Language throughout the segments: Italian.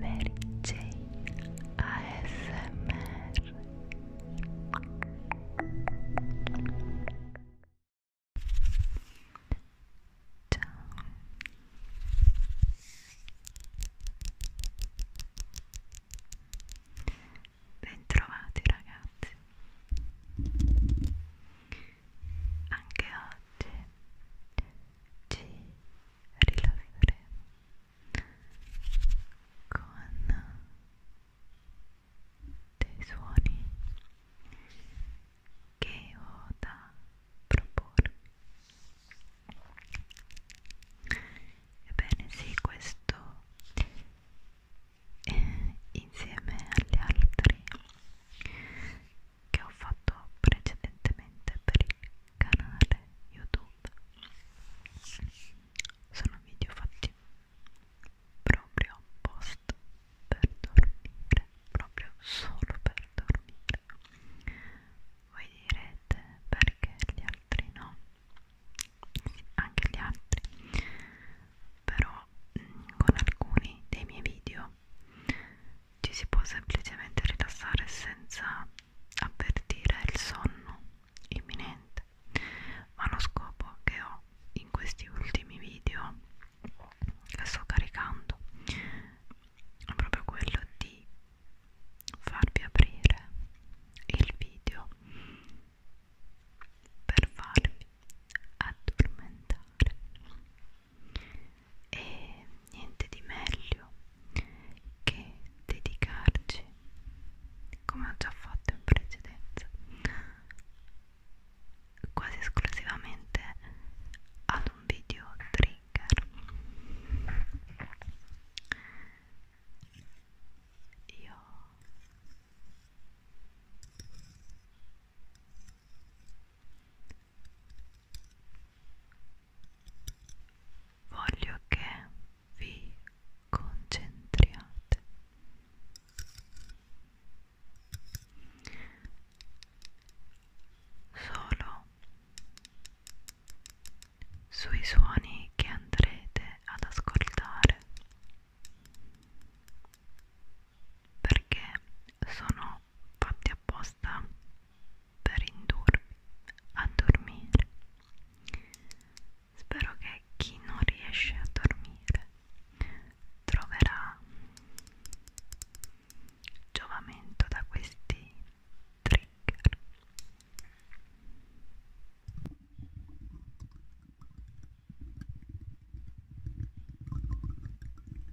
Mary Jane ASMR Ciao Bentrovati ragazzi Anche oggi ci rilasseremo con dei suoni che ho da proporre ebbene sì questo eh, insieme agli altri che ho fatto precedentemente per il canale YouTube. Sono video fatti proprio post per dormire, proprio solo per dormire. Voi direte perché gli altri no? Sì, anche gli altri. Però mm, con alcuni dei miei video ci si può semplicemente rilassare senza avvertire il sonno imminente ma lo scopo che ho in questi ultimi video che sto caricando è proprio quello di farvi aprire il video per farvi addormentare e niente di meglio che dedicarci come ho già fatto in precedenza quasi esclusivamente ad un video trigger io voglio che vi concentriate solo sui suoni che andrete ad ascoltare perché sono fatti apposta per indurmi a dormire spero che chi non riesce a dormire troverà giovamento da questi trigger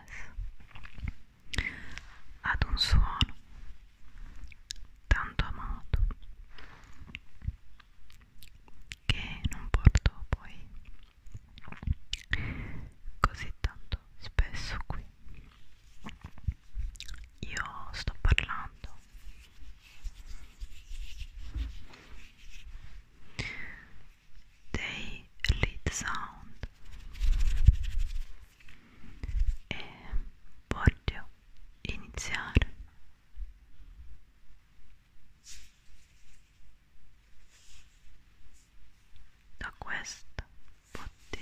jazz ad un suono tanto amato che non porto poi così tanto spesso qui io sto parlando they lead sound e ehm, voglio iniziare da questa bottiglia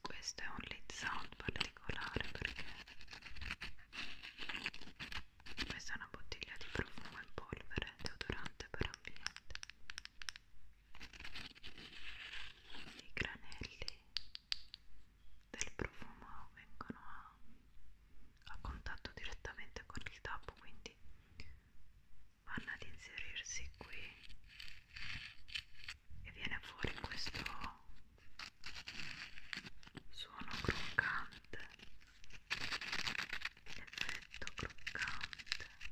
Questo è un lead sound particolare perché questa è una bottiglia di profumo in polvere, deodorante per ambiente i granelli del profumo vengono a, a contatto direttamente con il tappo quindi vanno ad inserirsi qui e viene fuori questo suono croccante l'effetto croccante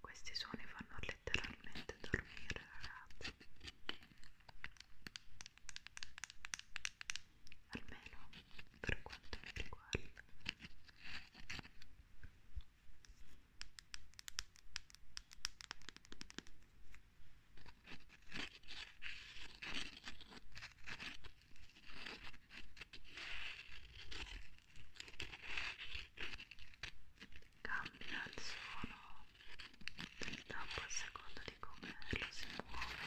Questi suoni fanno letteralmente dormire, ragazzi. Almeno per quanto mi riguarda. Cambia il suono dell'acqua a seconda di come lo si muove.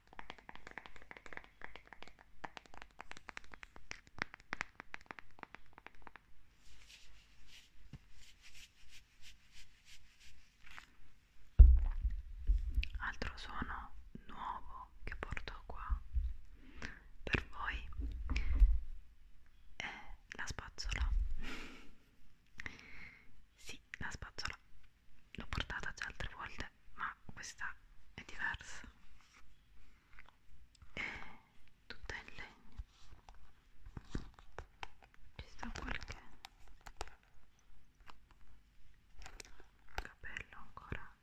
Altro suono nuovo che porto qua per voi è la spazzola. Sì, la spazzola l'ho portata già altre volte ma questa è diversa è tutta in legno ci sta qualche capello ancora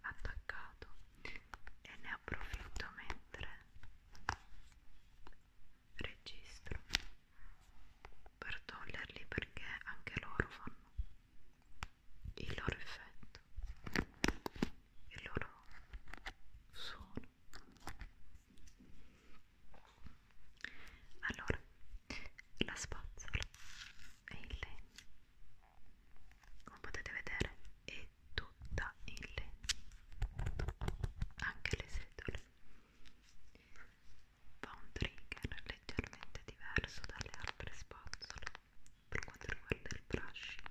attaccato e ne approfitto mentre registro per toglierli perché anche loro fanno il loro effetto, il loro suono. Allora, la spazzola è in legno, come potete vedere è tutta in legno, anche le setole fa un trigger leggermente diverso dalle altre spazzole per quanto riguarda il brushing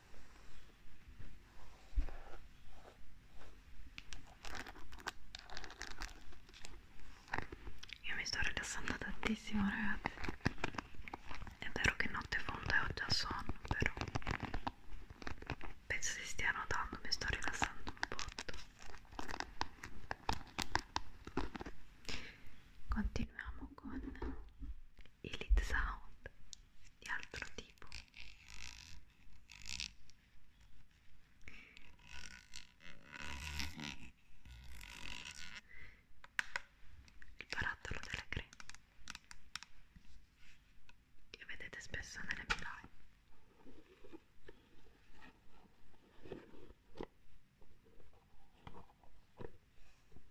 Io mi sto rilassando tantissimo ragazzi È vero che notte fonda e ho già sonno però Penso si stia notando, mi sto rilassando un botto Continuiamo con e lead sound di altro tipo il barattolo della crema che vedete spesso nelle mie live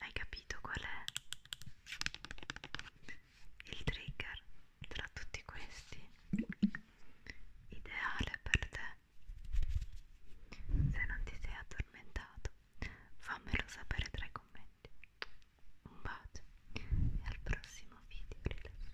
Hai capito qual è il trigger tra tutti questi ideale per te? Se non ti sei addormentato, fammelo sapere tra i commenti. Un bacio e al prossimo video rilassante.